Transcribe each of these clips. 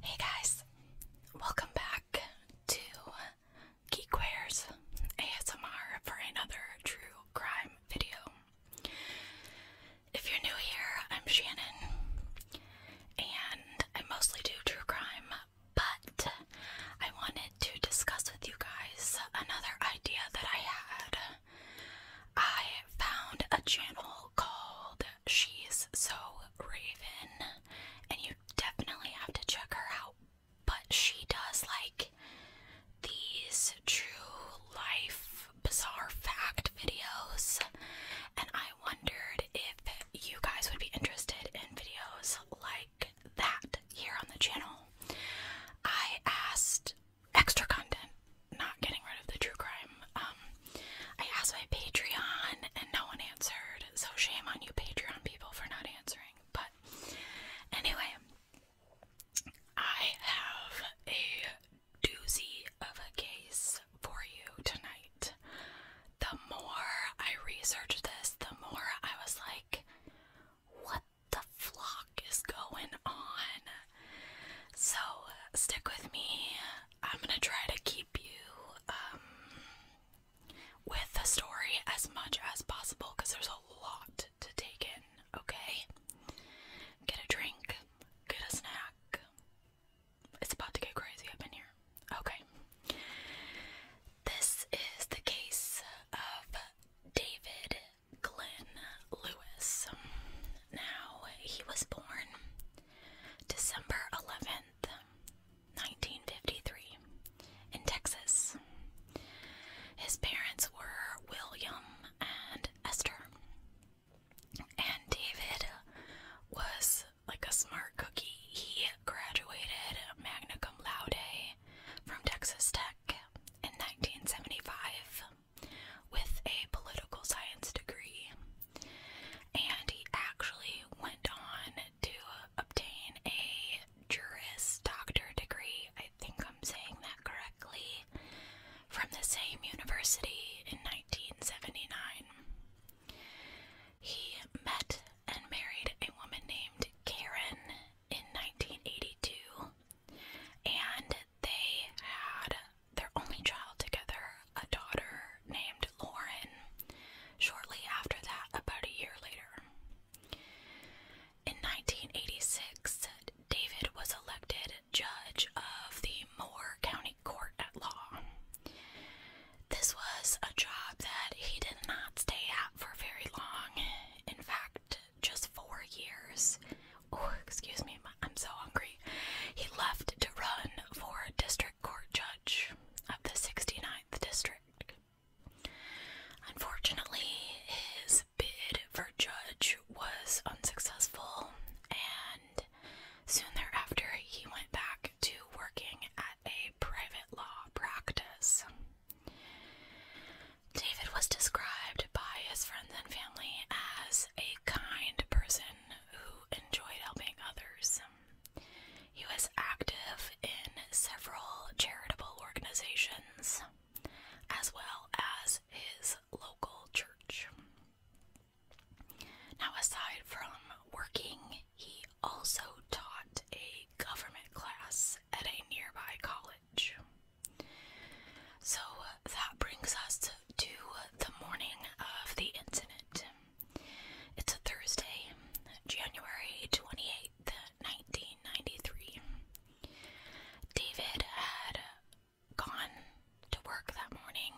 Hey guys, welcome back to Geekwares ASMR for another true crime video. If you're new here, I'm Shannon, and I mostly do true crime, but I wanted to discuss with you guys another idea that I had. I found a channel called She's So Raven, and you definitely have to check her out. But she does like these true life bizarre fact videos, and I wondered if you guys would be interested in videos like that here on the channel. I asked extra content, not getting rid of the true crime. Um, I asked my Patreon and no one answered, so shame on you, Patreon people, for not answering. But anyway, I have a doozy of a case for you tonight. The more I researched this, the more I was like, what the flock is going on? So, stick with me. I'm gonna try to keep you um, with the story as much as possible because there's a lot to take in, okay? Get a drink, get a snack. It's about to get crazy up in here. Okay. This is the case of David Glenn Lewis. Now, he was born December 11th, 1953, in Texas. His parents were William and Esther. And David was like a smart cookie. He graduated magna cum laude from Texas Tech in 1975 with a political science degree, and he actually went on to obtain a Juris Doctor degree. I think I'm saying that correctly. From the same university in 1979. He met and married a woman named Karen in 1982, and they had their only child together, a daughter named Lauren, shortly after that, about a year later. In 1986, David was elected judge of the Moore County Court at Law. This was a job that he did not stay at for very long. In fact, just four years. Oh, excuse me, I'm so hungry. He left to run for district court judge of the 69th district. Unfortunately, his bid for judge was unsuccessful, and soon thereafter, he went back to working at a private law practice. David was described by his friends and family as a kind person who enjoyed helping others. He was active in several charitable organizations as well as his local church. Now, aside from working he also taught a government class at a nearby college. So that brings us to, the morning of the incident. It's a Thursday, January 28th, 1993. David had gone to work that morning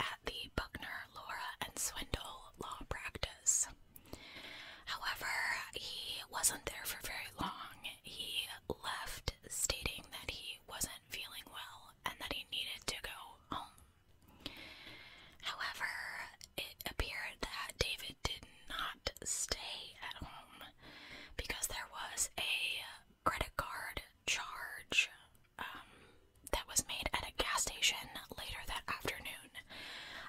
at the Buckner, Laura, and Swindle law practice. However, he wasn't there for very long. He left stating that he wasn't feeling well and that he needed to go home. However, it appeared that David did not stay at home because there was a credit card charge um, that was made at a gas station later that afternoon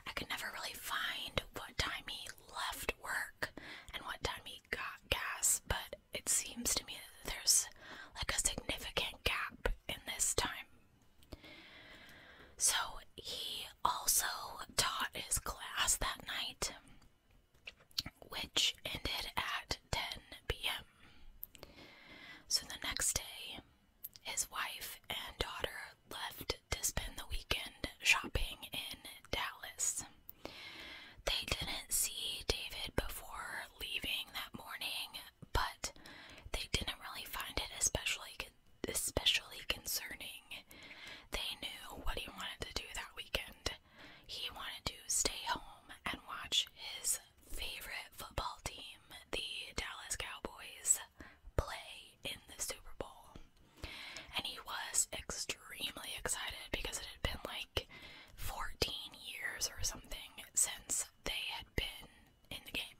I could never really find what time he left work and what time he got gas, but it seems to me that there's like a significant gap in this time. So he also taught his class that night, which ended at 10 p.m. So the next day, his wife and daughter left to spend the weekend shopping in Dallas. They didn't see David before leaving that morning, but they didn't really find it especially especially concerning. They knew what he wanted to do that weekend. He wanted to stay home and watch his favorite football team, the Dallas Cowboys, play in the Super Bowl. And he was extremely excited because it had been like 14 years or something since they had been in the game.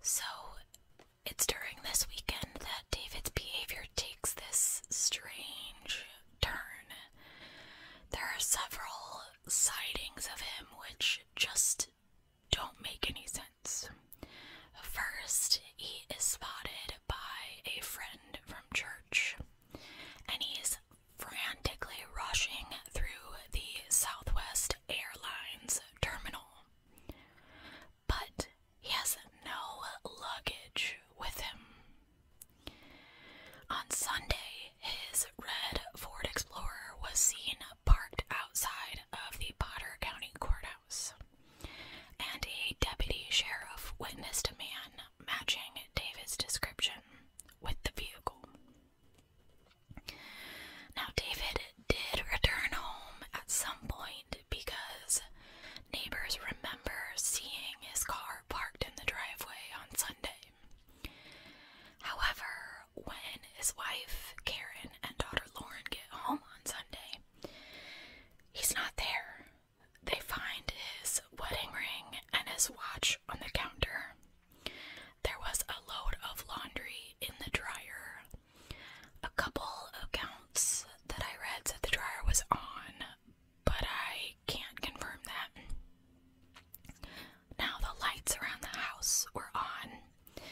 So it's during this weekend that David's behavior takes this strange turn. There are several sightings of him which just don't make any sense. First, he is spotted by a friend from church, and he's frantically rushing through the Southwest Airlines terminal. But he has no luggage with him. On Sunday, his red Ford Explorer was seen parked outside of the Potter County Courthouse. And a deputy sheriff witnessed a man matching David's description with the vehicle. Now, David did return home at some point because neighbors remember seeing his car parked in the driveway on Sunday. However, when his wife Karen and daughter Lauren get home on Sunday. He's not there. They find his wedding ring and his watch on the counter. There was a load of laundry in the dryer. A couple accounts that I read said the dryer was on, but I can't confirm that. Now the lights around the house were on,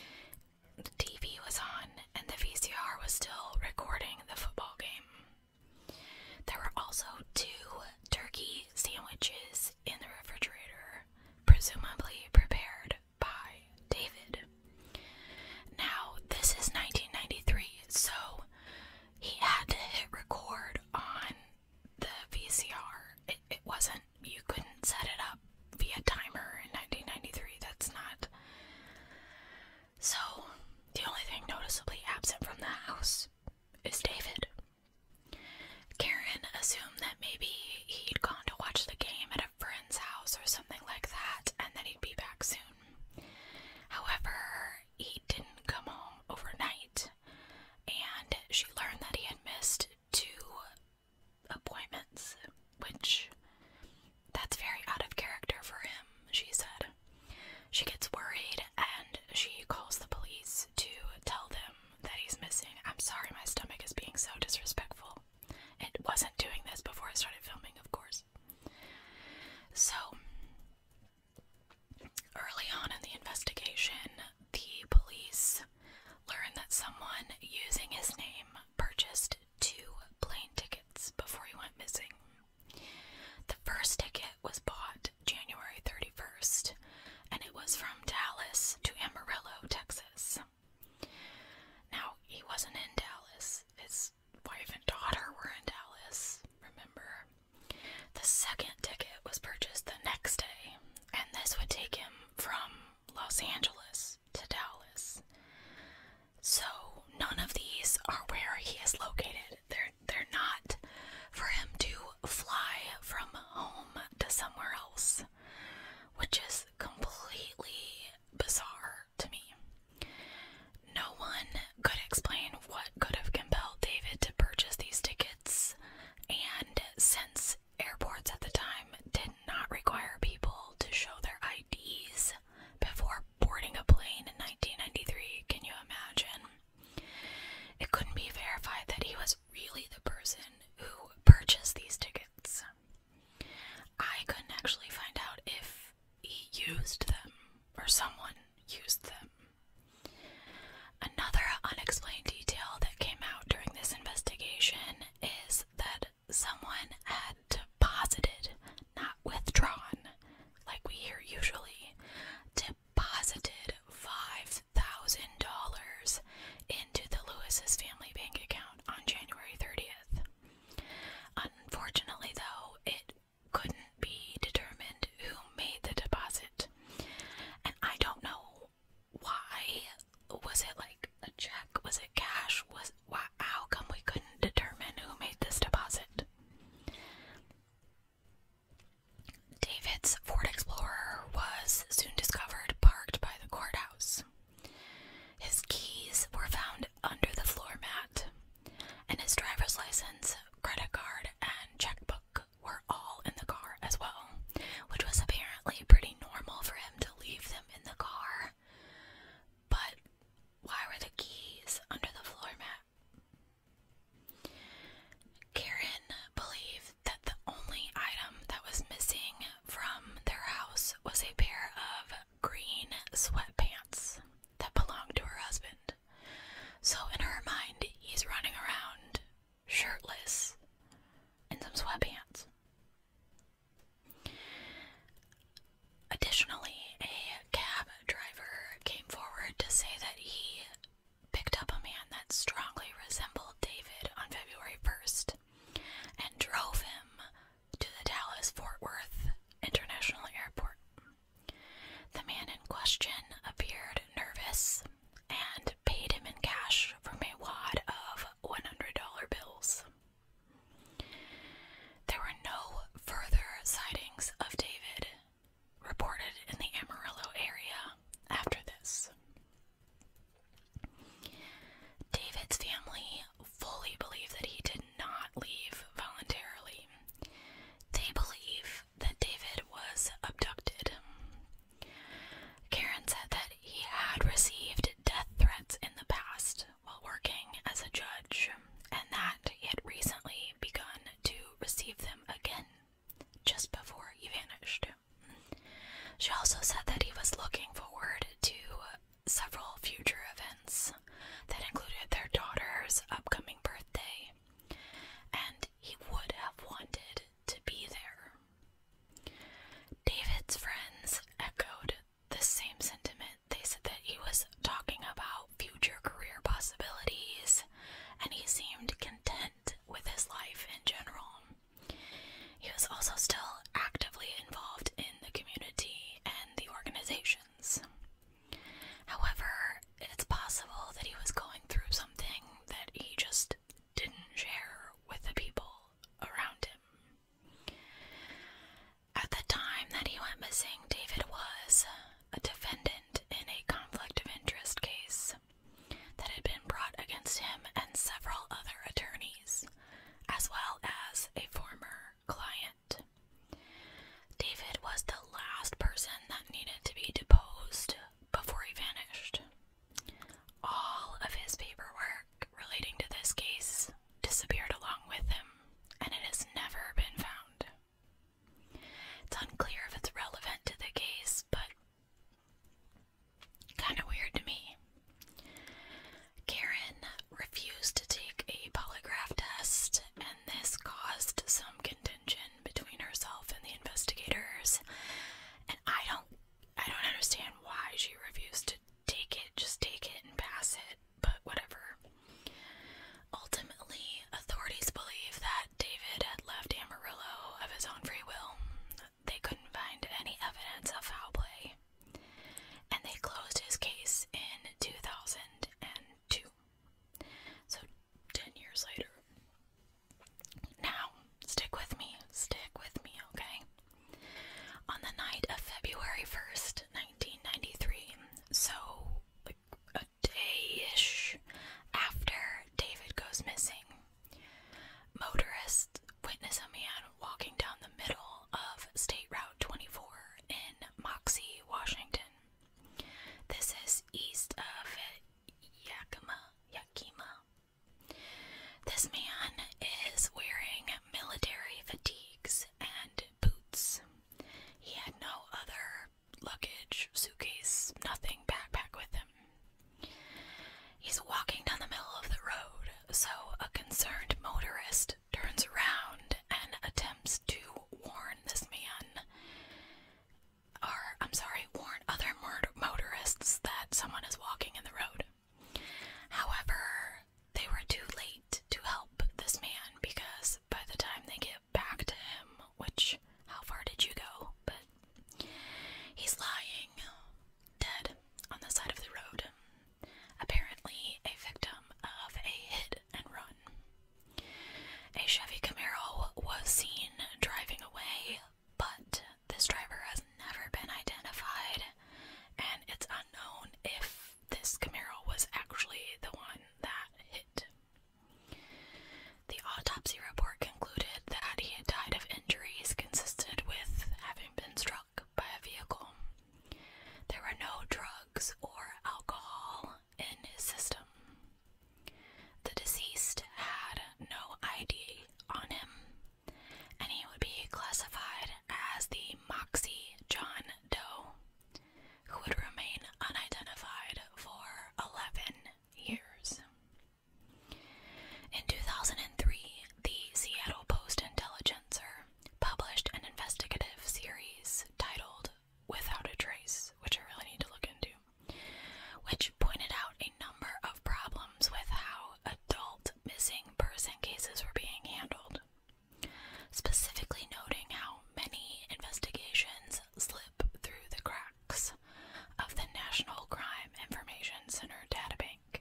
the TV was on and the VCR was still recording the football game. There were also two turkey sandwiches in the refrigerator, presumably prepared by David. Now, this is 1993, so he had to hit record on the VCR. It, wasn't you couldn't set it up via timer in 1993. That's not. So, the only thing noticeably absent from the house is David. Karen assumed that maybe he'd gone to watch the game at a friend's house or something like that and that he'd be back soon. However, he didn't come home overnight, and she learned that he had missed two appointments, which that's very out of character for him, she said. She gets worried and she calls the police to tell them that he's missing. I'm sorry, my stomach is being so disrespectful. It wasn't doing this before I started filming, of course. So, early on in the investigation, the police learn that someone using his name purchased two plane tickets before he went missing. The first ticket was bought January 31st, and it was from Dallas to Amarillo, Texas. Now, he wasn't in Dallas, his wife and daughter were in Dallas, remember? The second ticket was purchased the next day, and this would take him from Los Angeles to Dallas. So none of these are where he is located. They're they're not for him to fly from home to somewhere else, which is completely bizarre to me. No one could explain what could have compelled David to purchase these tickets, and since airports at the time did not require people to show their IDs before boarding a plane in 1993. Can you imagine? It couldn't be verified that he was really the person who purchased these tickets. I couldn't actually find out if he used them or someone used them. Another unexplained detail that came out during this investigation is that someone had deposited, not withdrawn, like we hear usually, deposited $5,000 into the Lewis's family bank account on January 30th. Unfortunately, though, it couldn't be determined who made the deposit. And I don't know why was it like a check? Was it cash? Was why, how come we couldn't determine who made this deposit? David's Ford Explorer was soon discovered parked by the courthouse. His keys were found under the floor mat, and his driver's license, credit card, and checkbook were all in the car as well, which was apparently pretty normal for him to leave them in the car. But why were the keys under the floor mat? Karen believed that the only item that was missing from their house was a pair of green sweatpants that belonged to her husband. So, in her mind, he's running around shirtless in some sweatpants. Additionally, a cab driver came forward to say that he picked up a man that strongly resembled David on February 1st and drove him to the Dallas Fort Worth International Airport. The man in question appeared nervous and paid him in cash from a wad of $100 bills. There were no further sightings of David reported in the Amarillo area after this. David's family fully believe that he did not leave voluntarily. They believe that David was abducted. Karen said that he had received death threats in the past while working as a judge, and that he had recently begun to receive them again just before he vanished. She also said that he was looking forward to several future events that included their daughter's upcoming birthday, and he would have wanted to be there. David's friends echoed the same sentiment. They said that he was talking about future career possibilities and he seemed content with his life in general. He was also still actively involved in the community and the organizations. However, it's possible that he was going through something that he just didn't share with the people around him. At the time that he went missing, David was a defendant in a conflict of interest case that had been brought against him and several other attorneys, as well as a former client. David was the last person that needed to be deposed before he vanished. All of his paperwork relating to this case disappeared along with him, and it has never been found. It's unclear if it's relevant to the case, but kind of weird to me. Karen refused to take a polygraph test, and this caused some contention between herself and the investigators. And I don't I don't understand why she refused to take it, just take it and pass it, but whatever. Ultimately, authorities believe that David had left Amarillo of his own free will. They couldn't find any evidence of foul play, and they closed his case in 2002. So, 10 years later. Now, stick with me, stick with me, okay? On the night of February 1st, 1993, so like a day ish after David goes missing, motorist witness a man walking down the middle of State Route 24 in Moxie, Washington. This is east of Yakima, Yakima, this man is wearing military fatigues and boots. He had no other luggage, suitcase, nothing backpack with him. He's walking down the middle of the road, so a concerned motorist turns around and attempts to warn this man, or I'm sorry, warn other motorists that someone is walking in the road. However, they were too late to help this man because by the time they get back to him, which, how far did you go? But he's lying dead on the side of the road, apparently a victim of a hit and run. A Chevy Camaro was seen driving away, but this driver has never been identified, and it's unknown if this Camaro was actually the one that hit. The autopsy report concluded that he had died of injuries consistent with having been struck by a vehicle. There were no drugs or alcohol in his system. The deceased had no ID on him, and he would be classified as the Moxie John Doe, who would remain unidentified for 11 years. In 2003, the Seattle Post Intelligencer published an investigative series titled Without a Trace, which I really need to look into, which pointed out a number of problems with how adult missing person cases were being handled, specifically noting how many investigations slip through the cracks of the National Crime Information Center databank,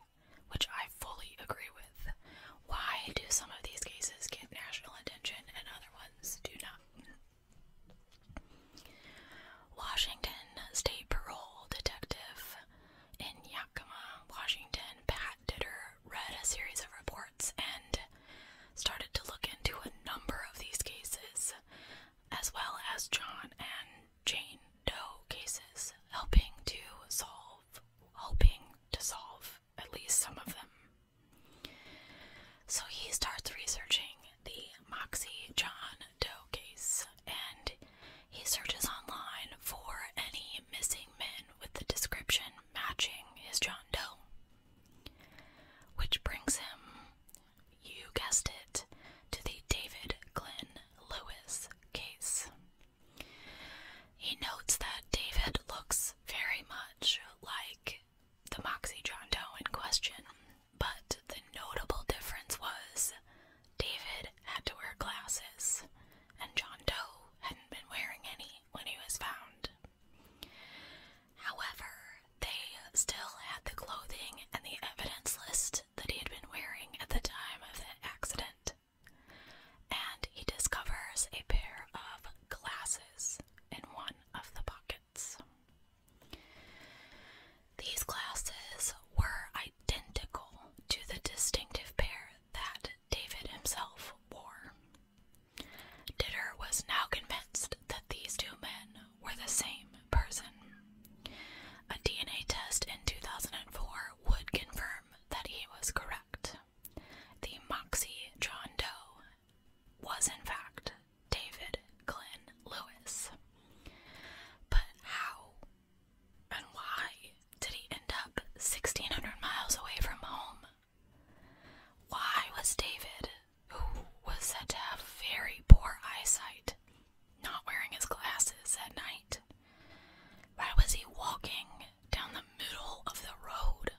which I fully agree with. Why do some of these cases get national attention and other ones do not? Washington State Parole Detective in Yakima, Washington, Pat Ditter read a series of reports and started to look into a number of these cases, as well as John and Jane Doe cases, helping to solve, hoping to solve at least some of them. So he starts researching the Moxie John Doe case and he searches online for any missing men with the description matching his John Doe. Which brings him, you guessed it, to the David Glenn Lewis case. He notes that David looks very much like the Moxie John Doe in question, but the notable difference was David had to wear glasses, and John Doe hadn't been wearing any when he was found. However, they still had the clothing and the evidence list that he had been wearing at the time of the accident. And he discovers a pair of glasses in one of the pockets. These glasses were identical to the distinctive pair that David himself wore. Ditter was now convinced that these two men were the same person. A DNA test in 2004 would confirm that he was correct. The Moxie John Doe was, in fact, David Glenn Lewis. But how and why did he end up 1600 miles away from home? Why was David, who was said to have very poor eyesight, not wearing his glasses at night? Why was he walking down the middle of the road?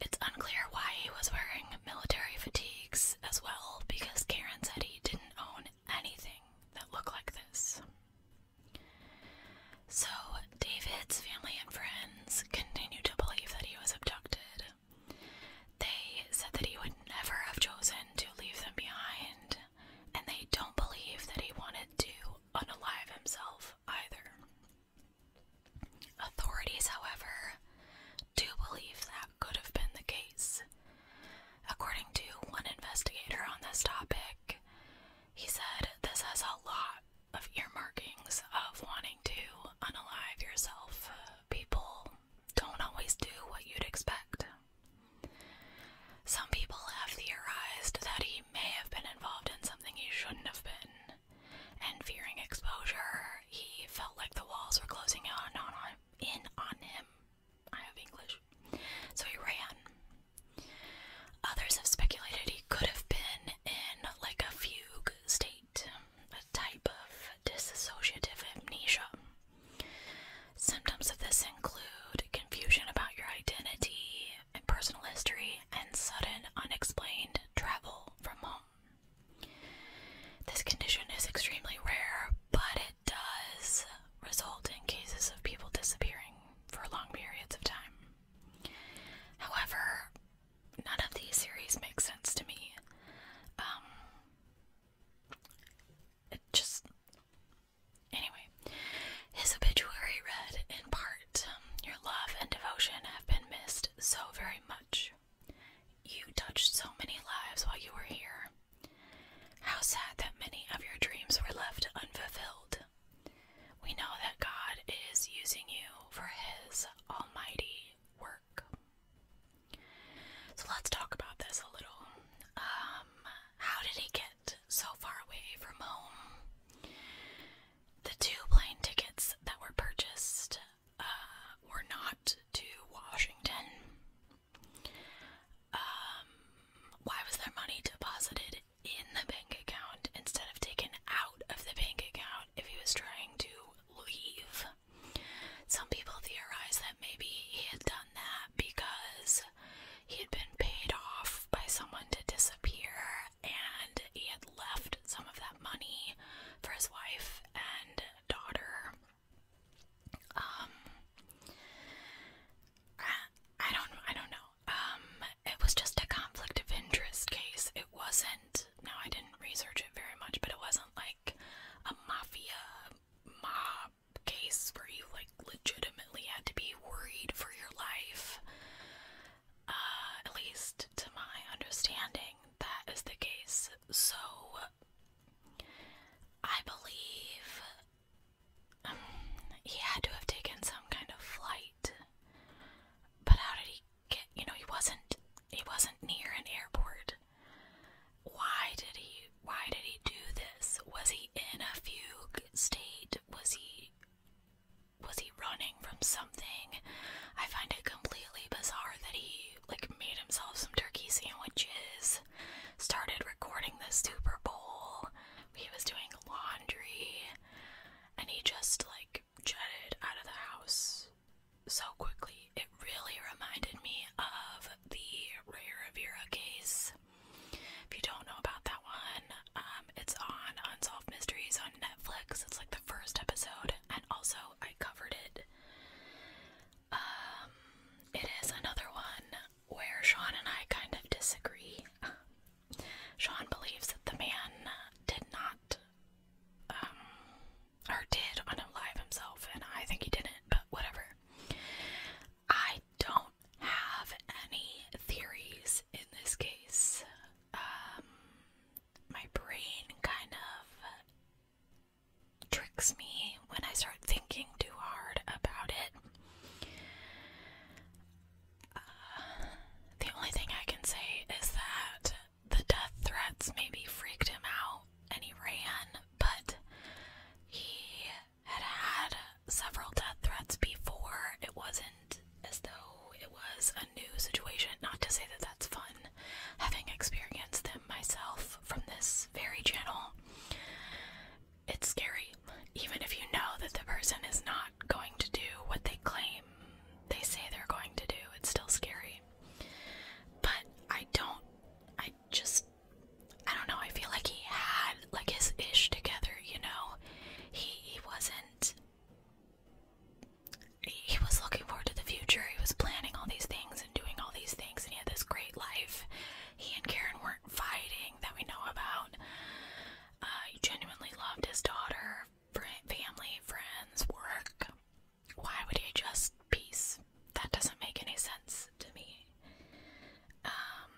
It's unclear why he was wearing military fatigues as well because Karen said he didn't own anything that looked like this. So, David's family and friends continue to believe that he was abducted. They said that he would never have chosen to leave them behind, and they don't believe that he wanted to unalive himself either. Authorities, however, do believe that could have been the case. According to one investigator on this topic, he said this has a lot of earmarkings of wanting to unalive yourself. People don't always do what you'd expect. Some people have theorized that he may have been involved in something he shouldn't have been, and fearing exposure, he felt like the walls were closing in on him. I have English. So he ran. Others have speculated he could have been in like a fugue state, a type of dissociative amnesia. Symptoms of this include confusion about your identity and personal history, and sudden unexplained travel from home. This condition is extremely rare, but it does result in cases of people disappearing for long periods of time. However, none of these series make sense to me. Um, it just. Anyway, his obituary read in part um, Your love and devotion have been missed so very much. You touched so many lives while you were here. How sad that many of your dreams were left unfulfilled. We know that God is using you for His almighty work. So let's talk about this a little. Um, how did he get so far away from home? The two plane tickets that were purchased uh, were not to Washington, um, why was their money deposited in the bank account instead of taken out of the bank account if he was trying to leave? Some people theorize that maybe he had done that because he had been paid off by someone to disappear and he had left some of that money for his wife and daughter um, I don't, I don't know. Um, it was just a conflict of interest case. It wasn't. Now I didn't research it very much, but it wasn't like a mafia mob case where you like legitimately had to be worried for your life. Uh, at least to my understanding, that is the case. So I believe um, he had to have taken some kind of flight. But how did he get? You know, he wasn't. He wasn't near an airport. Why did he? Why did he do this? Was he in a fugue state? Was he? Was he running from something? I find it completely bizarre that he like made himself some turkey sandwiches, started recording the Super Bowl. He was doing laundry and he just like jetted out of the house so quickly. It really reminded me of the Ray Vera case. If you don't know about that one, um, it's on Unsolved Mysteries on Netflix. It's like the first episode, and also I covered it um, it is another one where Sean and I kind of disagree. Sean believes that the man did not, um, or did live himself, and I think he didn't, but whatever. I don't have any theories in this case. Um, my brain kind of tricks me when I start thinking too hard about it. Uh, the only thing I can say is that the death threats maybe freaked him out and he ran, but he had had several death threats before. It wasn't as though it was a new situation. Not to say that that's fun, having experienced them myself from this very channel, it's scary. Even if you know that the person is not going to do what they claim they say they're going to do, it's still scary. But I don't, I just, I don't know, I feel like he had like his ish together, you know? He, he wasn't, he was looking forward to the future, he was planning all these things and doing all these things, and he had this great life he and Karen weren't fighting that we know about. Uh, he genuinely loved his daughter, family, friends, work. Why would he just peace? That doesn't make any sense to me. Um,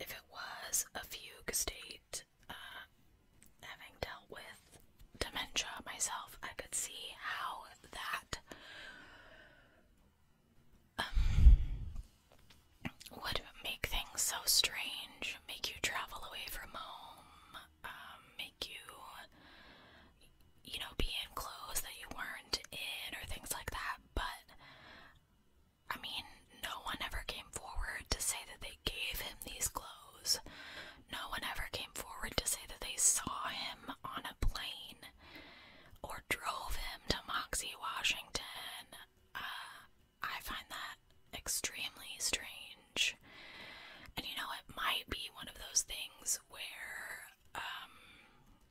if it was a fugue state, uh, having dealt with dementia myself, I could see how that um, make things so strange, make you travel away from home, um, make you, you know, be in clothes that you weren't in or things like that. But I mean, no one ever came forward to say that they gave him these clothes. No one ever came forward to say that they saw him on a plane or drove him to Moxie, Washington. Uh, I find that extremely strange. And you know, it might be one of those things where um,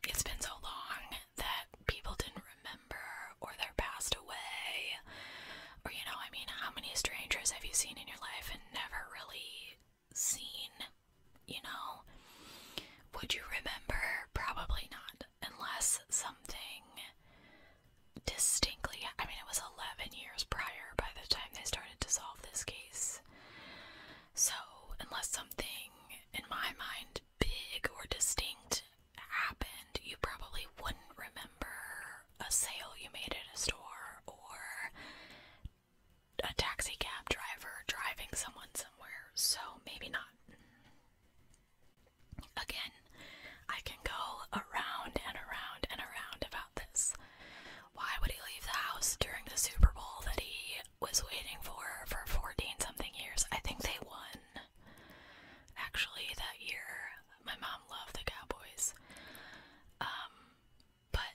it's been so long that people didn't remember or they're passed away. Or, you know, I mean, how many strangers have you seen in your life and never really scene, you know? Would you remember? Probably not, unless something distinctly. I mean, it was 11 years prior by the time they started to solve this case. So, unless something in my mind big or distinct happened, you probably wouldn't remember a sale you made in a store or a taxi cab driver driving someone somewhere, so maybe not. Again, I can go around and around and around about this. Why would he leave the house during the Super Bowl that he was waiting for for 14 something years? I think they won actually that year. My mom loved the Cowboys. Um, but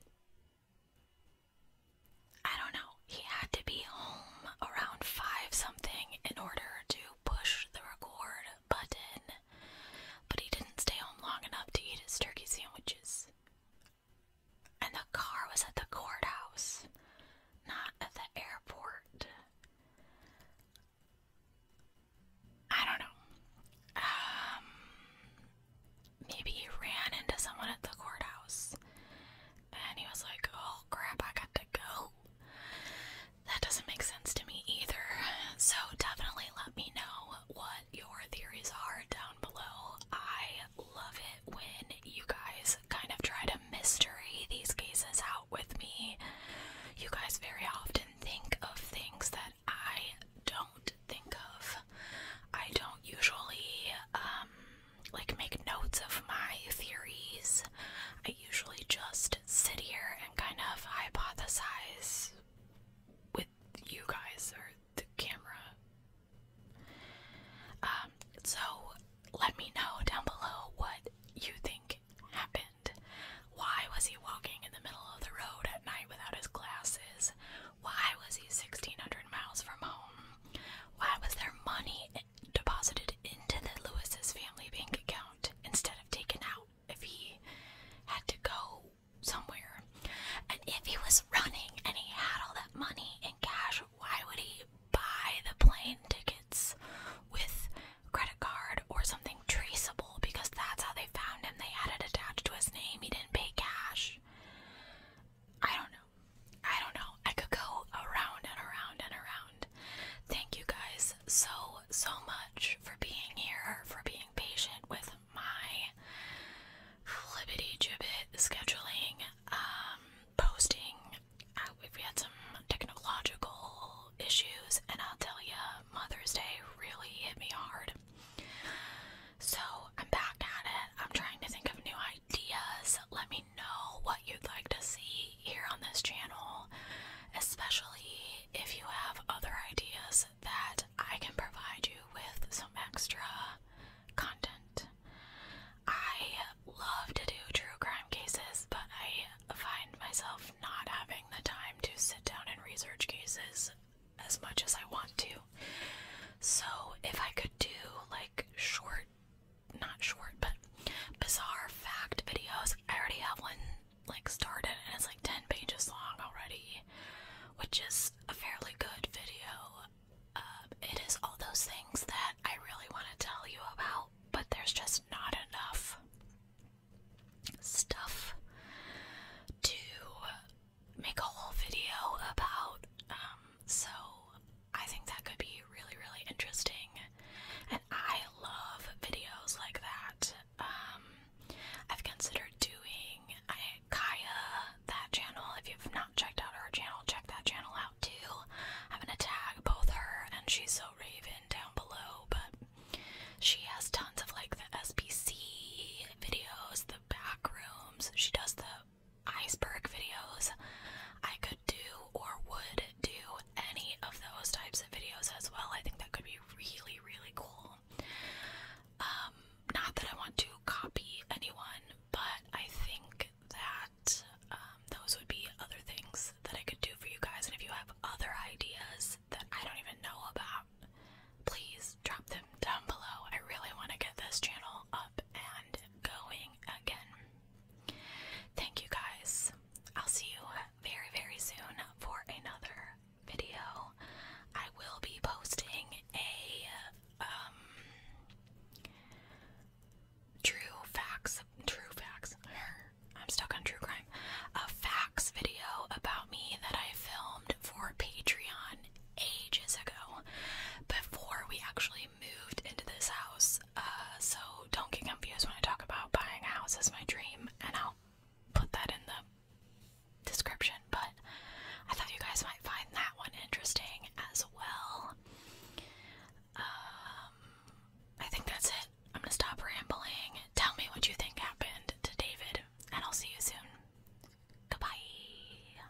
I don't know. He had to be home around 5 something in order to push the record button, but he didn't stay home long enough to eat his turkey sandwiches. And the car was at the courthouse, not at the airport. I don't know. Um, maybe he ran into someone at the courthouse and he was like, oh crap, I got to go. That doesn't make sense to me either. So definitely let me know what your theories are down below. I love it when you guys kind of try to mystery these cases out with me. You guys very often think of things that I don't think of. I don't usually um, like make notes of my theories. I usually just sit here and kind of hypothesize with you guys or the camera. Um, so let me know down below what you think happened. Why was he walking in the middle of the road at night without his glasses? Why was he 1,600 miles from home? Why was there money deposited into the Lewis's family bank account instead of taken out if he had to go somewhere? And if he was running and he had all that money in cash, why would he buy the plane tickets with credit card or something traceable? Because that's how they found him. They had it attached to his name. He didn't pay cash. I don't know. I don't know. I could go around and around and around. Thank you guys so, so much for being here, for being patient with my flippity gibbet scheduling, um, posting. Uh, we've had some technological issues, and I'll tell you, Mother's Day really hit me hard. So I'm back at it. I'm trying to think of new ideas. Let me know what you'd like to see here on this channel, especially if you have other ideas that I can provide you with some extra content. I love to do true crime cases, but I find myself not having the time to sit down and research cases as much as I want to. So, if I could do like short not short, but bizarre fact videos. I already have one like started and it's like 10 pages long already, which is a fairly good video. Um, it is all those things that I really want to tell you about, but there's just not enough stuff to make a whole video about. Um, so I think that could be really, really interesting. And I love videos like that. Um, I've considered doing I, Kaya, that channel. If you've not checked out her channel, check that channel out too. I'm gonna tag both her and she's so Raven down below, but she has tons of like the SPC videos, the back rooms. She does the iceberg videos. I could do or would do any of those types of videos as well. I think that could be really, really cool. Um, not that I want to copy anyone, but I think that um, those would be other things that I could do for you guys. And if you have other ideas that I don't even know about, please drop them down below. I really want to get this channel up and going again. Thank you guys. I'll see you very, very soon for another video. I will be posting a um, true facts true facts. I'm stuck on true crime. A facts video about me that I filmed for Patreon ages ago before we actually moved into this house, uh, so don't get confused when I talk about buying a my dream, and I'll put that in the description. But I thought you guys might find that one interesting as well. Um, I think that's it. I'm gonna stop rambling. Tell me what you think happened to David, and I'll see you soon. Goodbye.